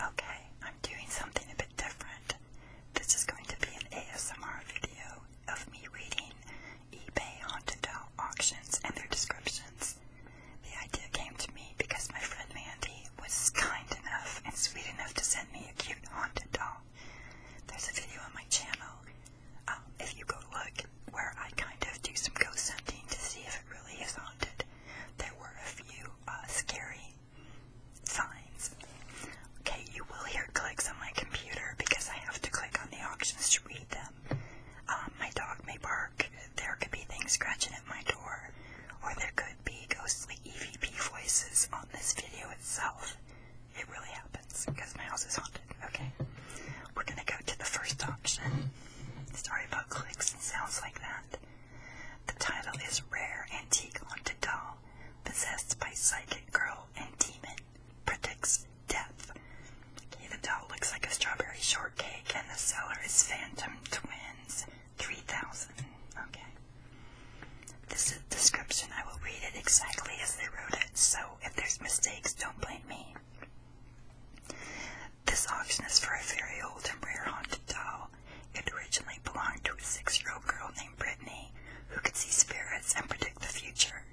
Okay, I'm doing something a bit different. This is going to be an ASMR video of me reading eBay haunted doll auctions and their descriptions. The idea came to me because my friend Mandy was kind enough and sweet enough to send me a cute haunted doll. There's a video on my channel, um, if you go look, where I kind of do some ghost hunting to see if it really is haunted there were a few uh, scary signs. Okay, you will hear clicks on my computer because I have to click on the options to read them. Um, my dog may bark, there could be things scratching at my door, or there could be ghostly EVP voices on this video itself. It really happens because my house is haunted. Okay, we're gonna go to the first option. Sorry about clicks and sounds like that. The title is Rare Antique Haunted Doll Possessed by Psychic Girl and Demon Predicts Death. Okay, the doll looks like a strawberry shortcake, and the seller is Phantom Twins 3000. Okay. This is description. I will read it exactly as they wrote it, so if there's mistakes, don't blame me. This auction is for a very old and rare haunted doll. It originally belonged to a six-year-old girl named Brittany, who could see spirits and predict the future.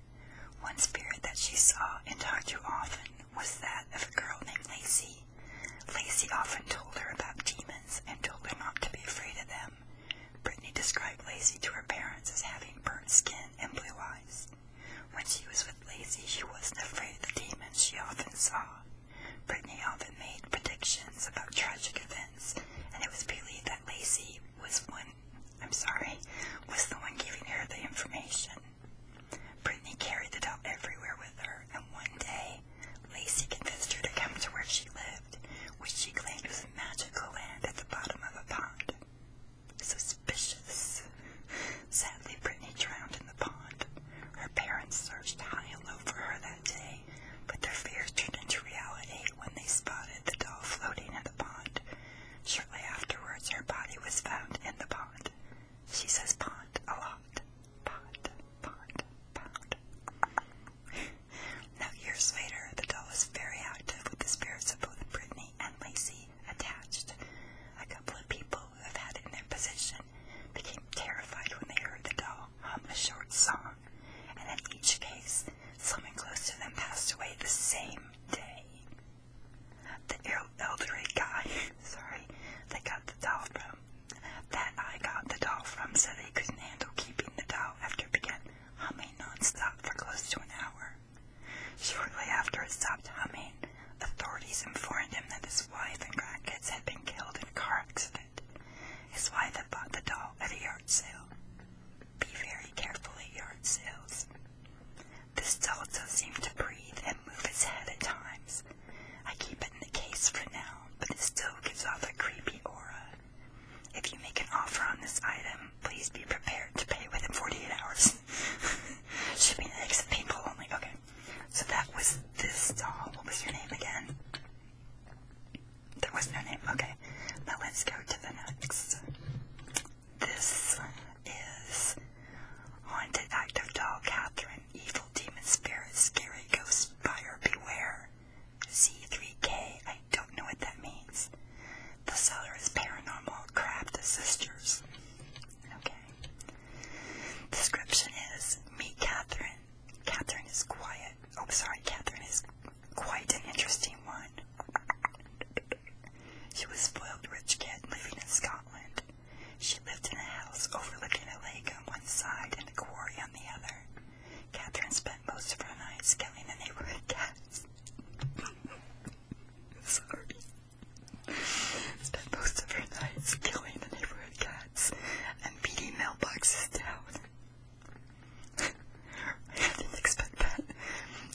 One spirit that she saw and talked to often was that of a girl named Lacy. Lacy often told her about demons and told her not to be afraid of them. Brittany described Lacy to her parents as having burnt skin and blue eyes. When she was with Lacy, she wasn't afraid of the demons she often saw. Brittany often made predictions about tragic events, and it was believed that Lacey was one I'm sorry, was the one giving her the information. Brittany carried the doll everywhere with her, and one day Lacey convinced her to come to where she lived, which she claimed was a magical land at the bottom of a pond. Suspicious. Sad Sadly, Brittany drowned in the pond. Her parents searched high and low for her that day, but their fears turned into reality when they spotted the doll floating in the pond. Shortly afterwards, her body was found in the pond. She says pond a lot. Pond, pond, pond. now, years later, the doll is very active with the spirits of both Brittany and Lacey attached. A couple of people who have had it in their possession became terrified when they heard the doll hum a short song, and in each case, someone close to them passed away the same day. The elderly guy, sorry, that got the doll from, that I got the doll from said they couldn't handle keeping the doll after it began humming non-stop for close to an hour. Shortly after it stopped humming, Authorities informed him that his wife and grandkids had been killed in a car accident. His wife had bought the doll at a yard sale. Be very careful at yard sales. This doll seem to breathe and move its head at times. I keep it in the case for now, but it still gives off a creepy aura. If you make an offer on this item, please be prepared to pay within 48 hours. Shipping eggs and paintball only. Okay. So that was this doll. What was your name again? There was no name. Okay. Now let's go to the next. This is Haunted Active Doll Catherine. Evil Demon spirits, Scary ghosts, Buyer Beware. C3K. I don't know what that means. The seller is Paranormal Craft Sisters. Okay. Description is meet Catherine. Catherine is quiet. Oh, sorry, Catherine is quite an interesting one. She was spoiled rich kid living in Scotland. She lived in a house overlooking a lake on one side and a quarry on the other. Catherine spent most of her nights killing the neighborhood cats. Sorry. Spent most of her nights killing the neighborhood cats and beating mailboxes down. I didn't expect that.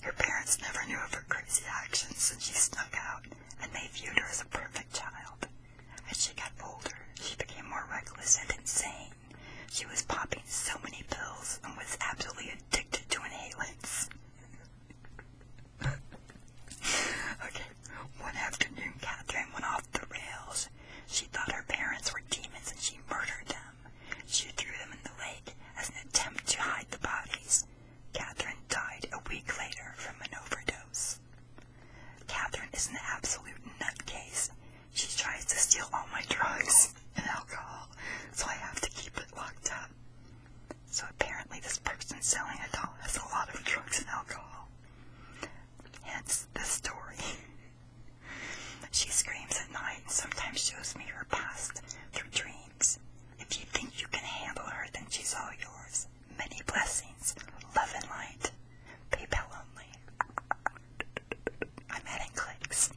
Her parents never knew of her crazy actions, and she snuck out, and they viewed her as a perfect child. As she got older, she became more reckless and insane. She was popping so many pills and was absolutely addicted to inhalants. okay. One afternoon, Catherine went off the rails. She thought her parents were demons and she murdered them. She threw them in the lake as an attempt to hide the bodies. Catherine died a week later from an overdose. Catherine is an absolute nutcase. She tries to steal all my drugs and alcohol, so I have to keep it locked up. So apparently this person selling a doll has a lot of drugs and alcohol. Hence the story. she screams at night and sometimes shows me her past through dreams. If you think you can handle her, then she's all yours. Many blessings, love and light. PayPal only. I'm adding clicks.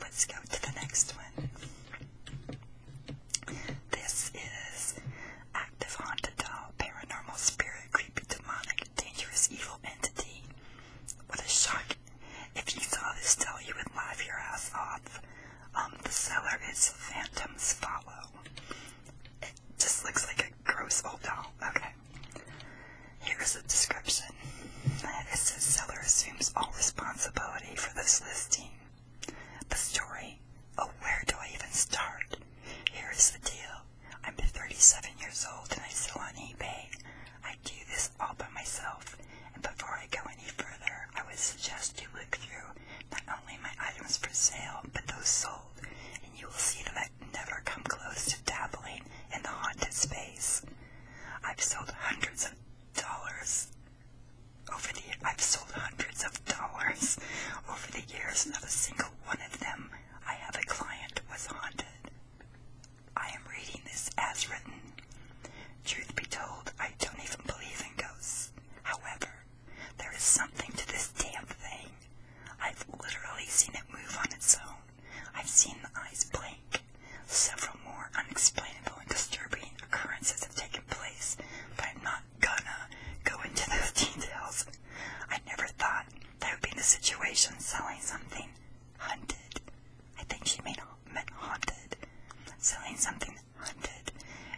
Let's go to the next one. This is active haunted doll, paranormal spirit, creepy, demonic, dangerous, evil entity. What a shock. If you saw this doll, you would laugh your ass off. Um, the seller is Phantom's Follow. It just looks like a gross old doll. Okay. Here's a description. It seller assumes all responsibility for this listing. The story? Oh, where do I even start? Here is the deal. I'm 37 years old and I sell on eBay. I do this all by myself. And before I go any further, I would suggest you look through not only my items for sale, but those sold, and you will see that I've never come close to dabbling in the haunted space. I've sold hundreds of dollars over the I've sold hundreds of dollars over the years, not a single one of them I have a client was haunted. I am reading this as written. Truth be told, I don't even believe in ghosts. However, there is something to this damn thing. I've literally seen it move on its own. I've seen the eyes blink. Several more unexplainable and disturbing occurrences have taken place, but I'm not not gonna go into those details. I never thought that would be the situation selling something hunted. I think she meant haunted. Selling something hunted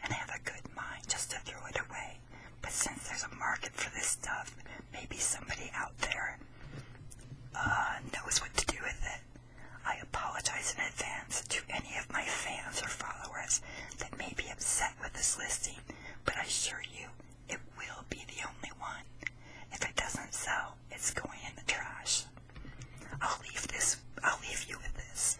and have a good mind just to throw it away. But since there's a market for this stuff, maybe somebody out there uh, knows what to do with it. I apologize in advance to any of my fans or followers that may be upset with this listing, but I assure you it will be the only one. If it doesn't sell, it's going in the trash. I'll leave this I'll leave you with this.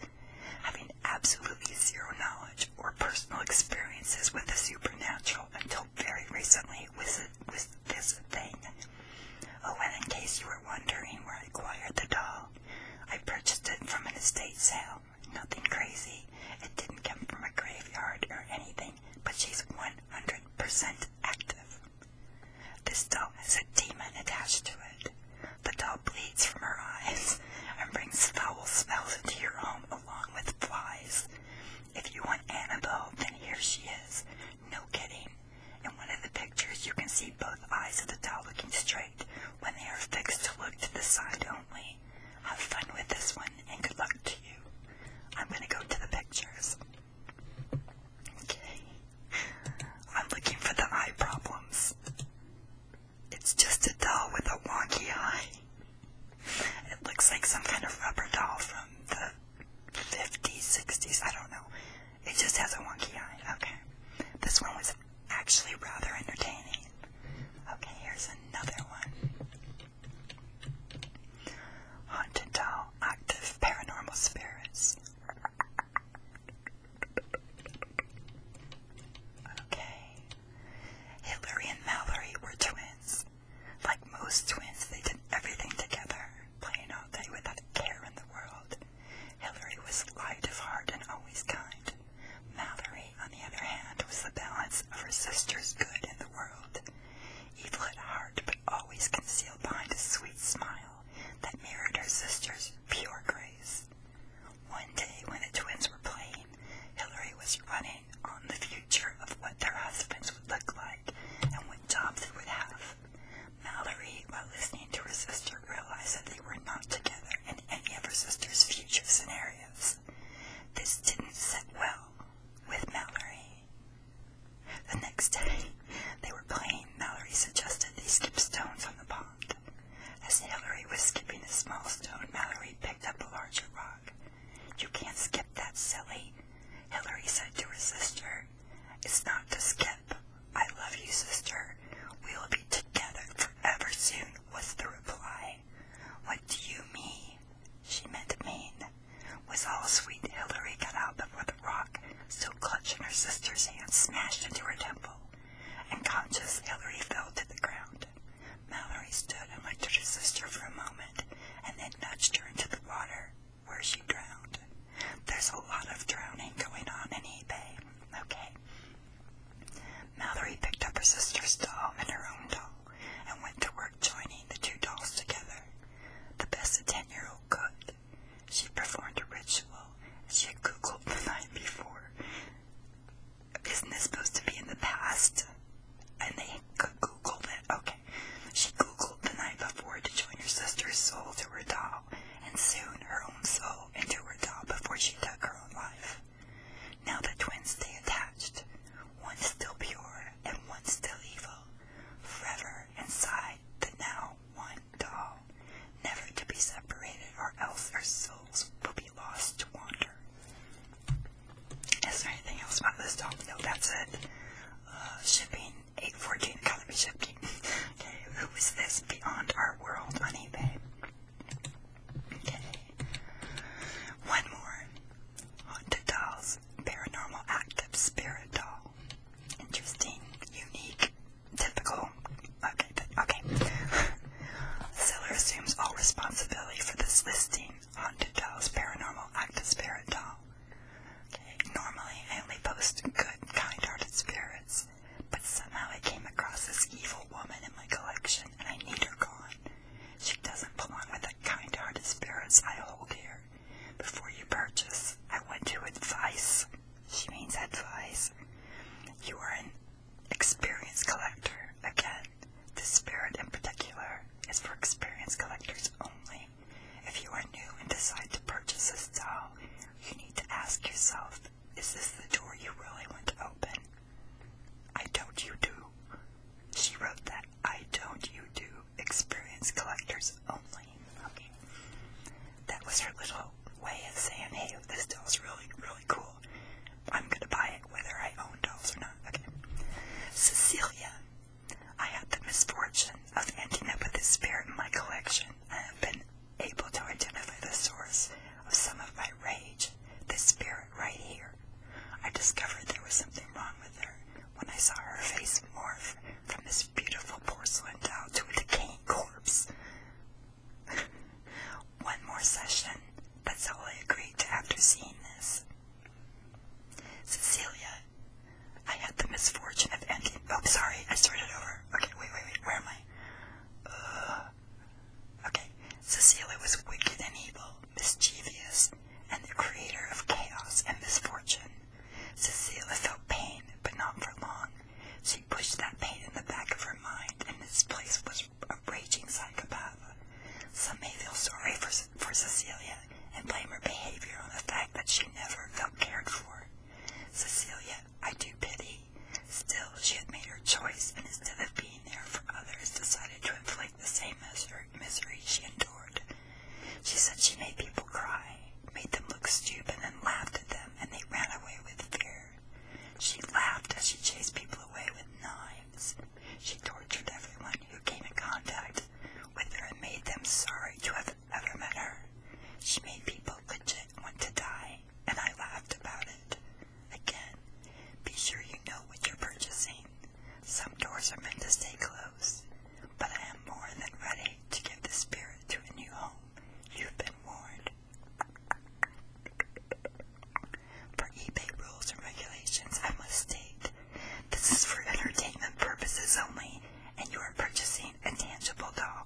Having absolutely zero knowledge or personal experiences with the supernatural until very recently was, was this thing. Oh, and in case you were wondering where I acquired the doll, I purchased it from an estate sale. Nothing crazy. It didn't come from a graveyard or anything, but she's 100% active. This doll has a demon attached to it. The doll bleeds from her eyes and brings foul smells into your home along with flies. If you want Annabelle, then here she is. No kidding. In one of the pictures, you can see both eyes of the doll looking straight when they are fixed to look to the side only. Have fun with this one and good luck to you. I'm gonna go to the pictures. Okay. I'm looking for the eye problems. It's just a doll with a wonky eye. It looks like some kind of rubber doll from the 50s, 60s, I don't know. It just has a wonky eye. Okay. This one was actually rather entertaining. Okay, here's another one. Haunted doll, active paranormal spirits. Okay. Hillary and Mallory were twins. Like most twins, they did everything together, playing all day without care in the world. Hillary was light of heart and always kind. Mallory, on the other hand, was the balance of her sister's good in the world, evil at heart but always concealed behind a sweet smile that mirrored her sister's pure grace. One day when the twins were playing, Hillary was running on the future of what their husbands would look like and what jobs they would have. Mallory, while listening to her sister realized that they were not together in any of her sister's future scenarios. This didn't sit well with Mallory. The next day, they were playing. Mallory suggested they skip stones on the pond. As Hillary was skipping a small stone, Mallory picked up a larger rock. You can't skip that, silly, Hillary said to her sister. It's not to skip. I love you, sister. We will be together forever soon, was the reply. What do you mean? She meant mean, was all sweet Hilary got out before the rock, still clutching her sister's hand, smashed into her temple. Unconscious, Hilary fell to the ground. Mallory stood and looked at her sister for a moment, and then nudged her into the water, where she drowned. There's a lot of drowning going on in eBay. Okay, Mallory picked up her sister's doll and her own doll and went to work joining the two dolls together, the best a ten-year-old could. She performed a ritual she had googled the night before. Isn't this supposed to be in the past? And they googled it. Okay. She googled the night before to join her sister's soul to her doll, and soon her own soul doll into her doll before she took her own life. Now the twins stay attached, one still pure and one still evil, forever inside the now one doll, never to be separated or else their souls will be lost to wander. Is there anything else about this doll? No, that's it. Uh, shipping, 814 economy shipping. Okay, who this? Beyond Our World on eBay. Okay. One more. Haunted Dolls Paranormal Active Spirit Doll. Interesting, unique, typical. Okay, but, okay. Seller assumes all responsibility for this listing. Haunted Dolls Paranormal Active Spirit Doll. Okay, normally I only post good, kind-hearted spirits but somehow I came across this evil woman in my collection, and I need her gone. She doesn't belong with the kind-hearted spirits I hold here. Before you purchase, I want to advise. She means advice. You are an experienced collector. Again, this spirit in particular is for experienced collectors only. If you are new and decide to purchase this doll, you need to ask yourself is this the door you really want to open? I don't you do. She wrote that I don't you do. Experience collectors only. Okay. That was her little way of saying, hey, this is really, really cool. I'm gonna buy it whether I own dolls or not. Okay. Cecilia. I had the misfortune of ending up with this spirit in my collection. I have been able to identify the source of some of my rage, this spirit right here. I discovered there was something wrong with her when I saw her face morph from this beautiful porcelain doll to a decaying corpse. One more session. That's all I agreed to after seeing this. Cecilia, I had the misfortune of ending. Oh, sorry, I started over. Okay, wait, wait, wait. Where am I? Uh, okay, Cecilia was wicked and evil, mischievous, and the creator of chaos and misfortune. Cecilia felt pain, but not for long. She pushed that pain in the back of her mind, and this place was a raging psychopath. Some may feel sorry for, for Cecilia and blame her behavior on the fact that she never felt cared for. Cecilia, I do pity Still, she had made her choice, and instead of being there for others, decided to inflict the same misery she endured. She said she made people cry, made them look stupid, and laughed at them, and they ran away with fear. She laughed as she chased people away with knives. She tortured everyone who came in contact with her and made them sorry to have have ever met her. She made people legit want to die, and I laughed about it. Again, be sure you know what you're purchasing. Some doors are meant to stay closed, but I am more than ready to give the spirit to a new home. You've been warned. For eBay rules and regulations, I must state this is for entertainment purposes only, and you are purchasing a tangible doll.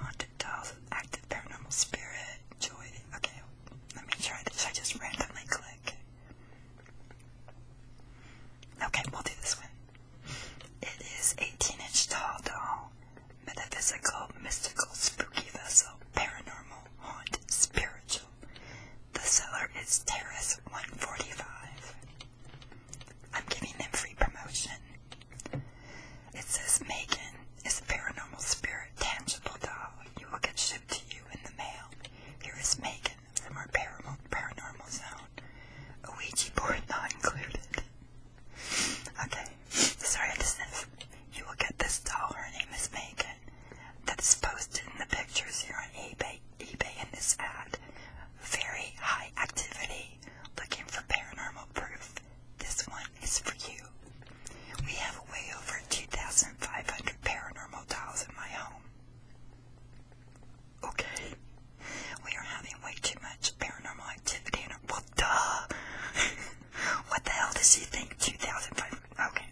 Haunted dolls, active paranormal spirit, joy. Okay, let me try this. I just randomly click. Okay, we'll do this one. It is 18 inch tall doll, metaphysical, mystical, spooky vessel, paranormal, haunted, spiritual. The seller is Terrace 145. I'm giving them free promotion. It says Megan is a paranormal spirit, tangible doll. You will get shipped to you in the mail. Here is Megan from our paranormal, paranormal zone. A Ouija board not included. Okay, sorry I just said you will get this doll. Her name is Megan. That's posted in the pictures here on eBay, eBay in this ad. Very high activity looking for paranormal proof, this one is for you. We have way over 2,500 paranormal dolls in my home. Okay. We are having way too much paranormal activity in our. Well, duh! what the hell does she think? 2,500. Okay.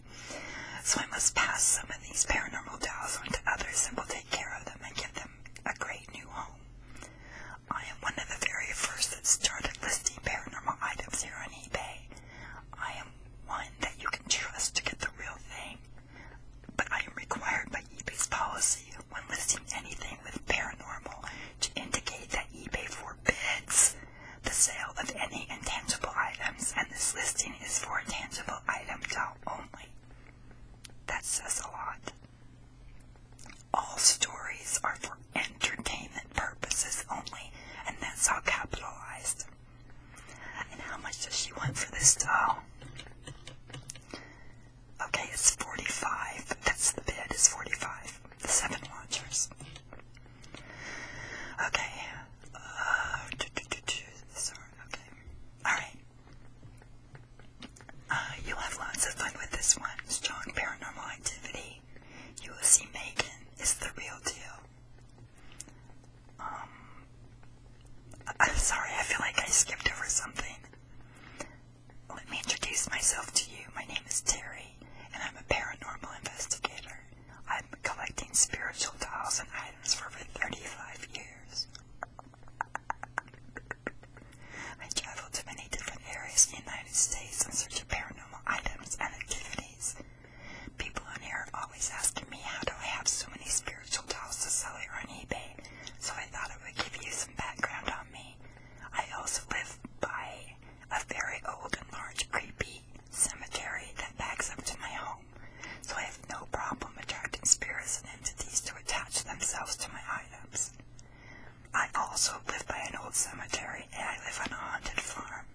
So I must pass some of these paranormal dolls on to others and we will take care of them and give them a great new home. I am one of the very first that started listing paranormal items here on eBay. I am one that you can trust to get the real thing, but I am required by eBay's policy when listing anything with paranormal to indicate that eBay forbids the sale of any intangible items, and this listing is for a tangible item doll only. That says a lot. All stories are for entertainment purposes only, and that's all capitalized. And how much does she want for this doll? Okay, it's 45. That's the bid, it's 45. seven watchers. Okay. Uh, sorry, okay. Alright. Uh, you'll have lots of fun with this one. Strong paranormal activity. You will see Megan is the real deal. Um, I'm sorry, I feel like I skipped over something. Let me introduce myself to you. My name is Terry, and I'm a paranormal investigator. I'm collecting spiritual dolls and items for over 35 years. I traveled to many different areas in the United States in search of paranormal items and activities. People on here are always asking me how do I have so many spiritual dolls to sell here on eBay, so I thought I would give you some background on me. I also live by a very old and large creepy cemetery that backs up to my home, so I no problem attracting spirits and entities to attach themselves to my items. I also live by an old cemetery and I live on a haunted farm.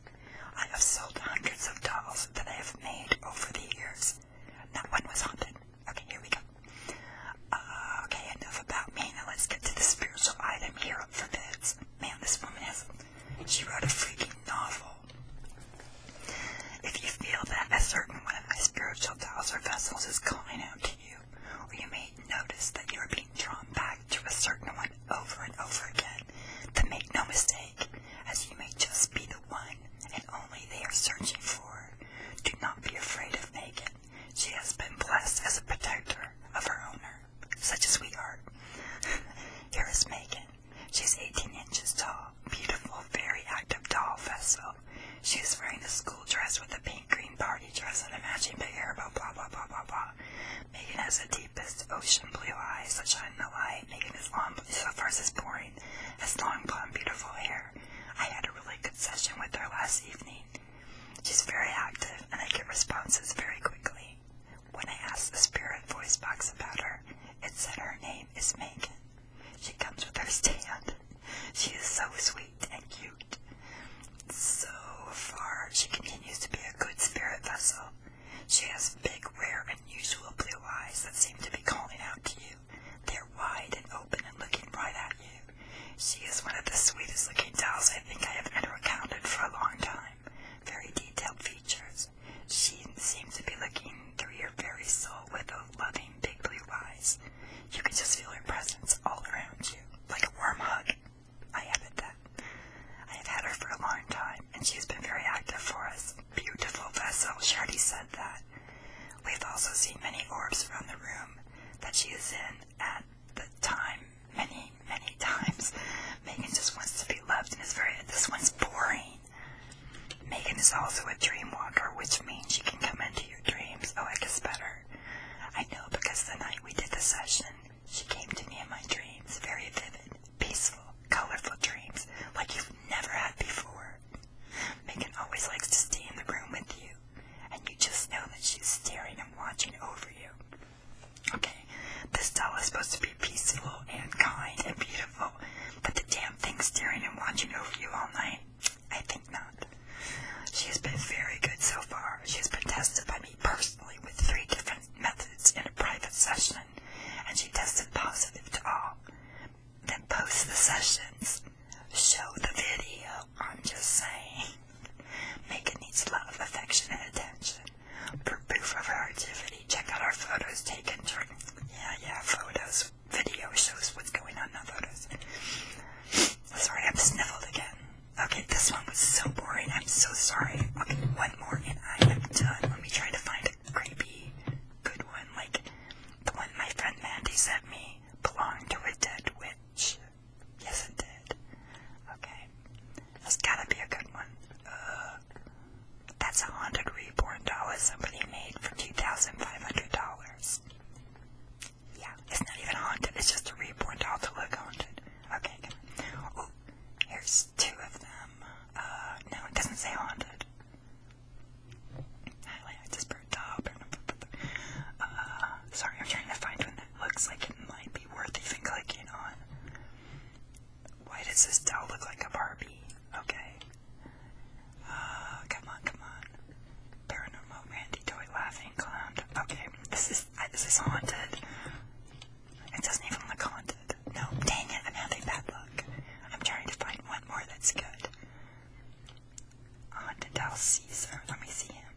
I have sold hundreds of dolls that I have made over the years. Not one was haunted. Okay, here we go. Uh, okay, enough about me. Now let's get to the spiritual item here up for bids. Man, this woman has. She wrote a freaking novel. If you feel that a certain one of my spiritual dials or vessels is calling out to you, or you may notice that you are being drawn back to a certain one over and over again, then make no mistake, as you may just be the one and only they are searching for. Do not be afraid of Megan. She has been blessed as a protector of her owner, such as we are. Here is Megan. She's 18 inches tall beautiful, very active doll festival. She wearing a school dress with a pink green party dress and a matching big hair, blah, blah, blah, blah, blah, blah. Megan has the deepest ocean blue eyes that shine in the light. Megan is long, so far as boring, has long blonde, beautiful hair. I had a really good session with her last evening. She's very active, and I get responses very quickly. When I asked the spirit voice box about her, it said her name is Megan. She comes with her stand. She is so sweet and cute. So far, she continues to be a good spirit vessel. She has big, rare, unusual blue eyes that seem to be calling out to you. They're wide and open and looking right at you. She is one of the sweetest looking dolls I think I have ever encountered for a long time. Very detailed features. She seems to be looking through your very soul with a loving big blue eyes. You can just feel her presence all around you, like a warm hug. I haven't that. I have had her for a long time, and she has been very active for us. Beautiful vessel, she already said that. We've also seen many orbs around the room that she is in at the time, many, many times. Megan just wants to be loved and is very, this one's boring. Megan is also a dream walker, which means she can come into your dreams. Oh, I guess better. I know because the night we did the session, she came to me in my dreams. Very vivid, peaceful, colorful dreams, like you've never had before. Megan always likes to stay in the room with you, and you just know that she's staring and watching over you. Okay, this doll is supposed to be peaceful and kind and beautiful, but the damn thing's staring and watching over you all night I think not. She has been very good so far. She has been tested by me personally with three different methods in a private session, and she tested positive to all. Then post the sessions. Show the video. I'm just saying. Megan needs love, affection, and attention. For proof of her activity, check out our photos taken during. Yeah, yeah, photos video shows what's going on, not photos. Sorry, I'm sniffled again. Okay, this one was so boring. I'm so sorry. Okay, one more and I am done. Let me try to find a creepy, good one. Like the one my friend Mandy sent me belonged to a dead witch. Yes, it did. Okay. That's gotta be a good one. That's a haunted reborn doll somebody made for $2,500. Yeah, it's not even haunted, it's just a reborn doll to look haunted. Okay, Oh, here's two of them. Uh, no, it doesn't say haunted. I like this bird top. Uh, sorry, I'm trying to find one that looks like it might be worth even clicking on. Why does this doll look like a Barbie? Okay. Uh, come on, come on. Paranormal Randy Toy laughing clown. Okay, this is this is haunted. It doesn't even look haunted. No, dang it, I'm having bad luck. I'm trying to find one more that's good. Haunted Doll Caesar. Let me see him.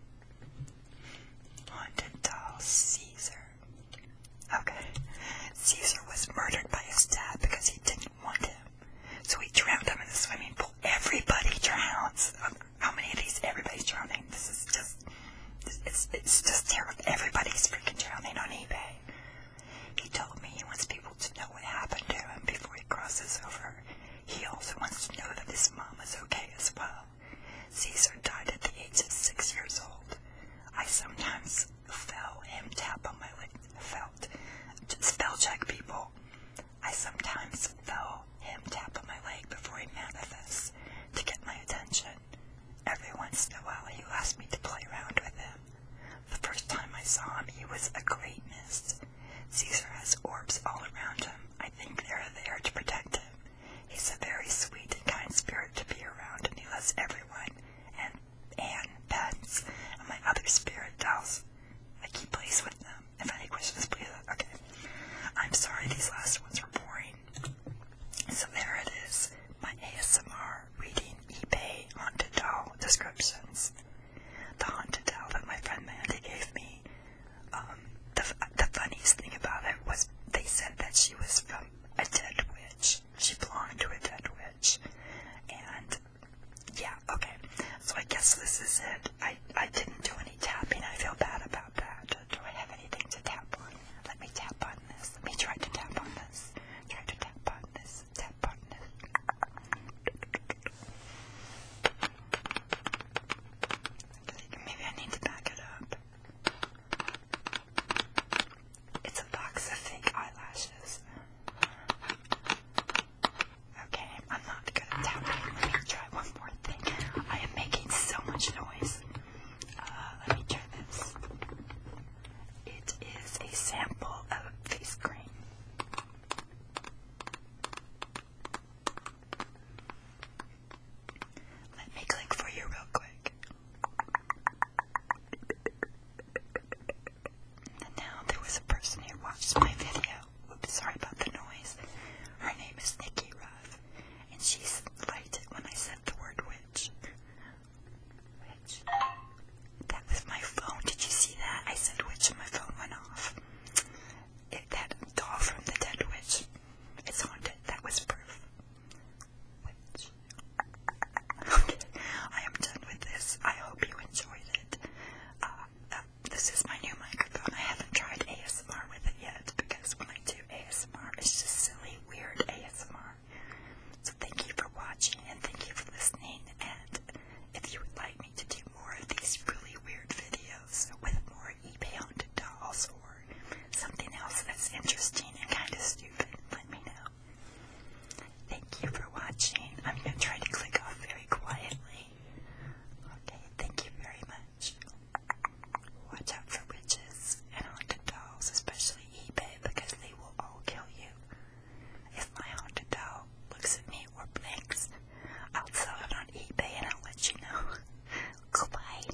Haunted Doll Caesar. Okay. Caesar was murdered by his dad because he didn't didn't want to. So we drowned him in the swimming pool. Everybody drowns. Um, how many of these? Everybody's drowning. This is just, it's, it's just terrible. Everybody's freaking drowning on eBay. He told me he wants people to know what happened to him before he crosses over. He also wants to know that his mom is okay as well. Caesar died at the age of six years old. I sometimes fell him tap on my lip felt spell check people. I sometimes felt him tap on my leg before he manifests to get my attention. Every once in a while he asked me to play around with him. The first time I saw him he was a great mist. Caesar has orbs all around him. I think they're there to protect him. He's a very sweet and kind spirit to be around and he loves everyone and and pens and my other spirit dolls. I keep place with them. If any questions, please. Okay. I'm sorry these last ones were boring. So there it is. My ASMR reading eBay haunted doll descriptions. The haunted doll that my friend Mandy gave me. Um, the the funniest thing about it was they said that she was from a dead witch. She belonged to a dead witch, and yeah, okay. So I guess this is it. I, I didn't do any tapping. I feel bad about that. Do I have anything to tap on? Let me tap on this. Let me try to tap on this. Try to tap on this. Tap on this. Maybe I need to back it up. It's a box of fake eyelashes. Okay, I'm not good at tapping. Let me try one more thing. I am making so much noise. Uh, let me try this. It is a sample of face cream. Let me click for you real quick. And now there was a person who watched my video. Oops, sorry about the noise. Her name is Nikki Ruff, and she liked it when I said the word witch. Witch. That was my phone. Did you see that? I said witch and my phone went off. It, that doll from the dead witch. It's haunted. That was proof. Witch. Okay, I am done with this. I hope you enjoyed it. Uh, uh, this is my new microphone. I haven't tried ASMR with it yet because when I do ASMR, it's just silly, weird ASMR. So thank you for watching and thank you for listening. And if you would like me to do more of these really weird videos with more e-bound dolls or something else that's interesting and kind of stupid, let me know. Thank you for watching. I'm going to try to click off very quietly. Okay, thank you very much. Watch out for witches and haunted dolls, especially eBay, because they will all kill you. If my haunted doll looks at me or blinks, I'll sell it on eBay and I'll let you know. Goodbye.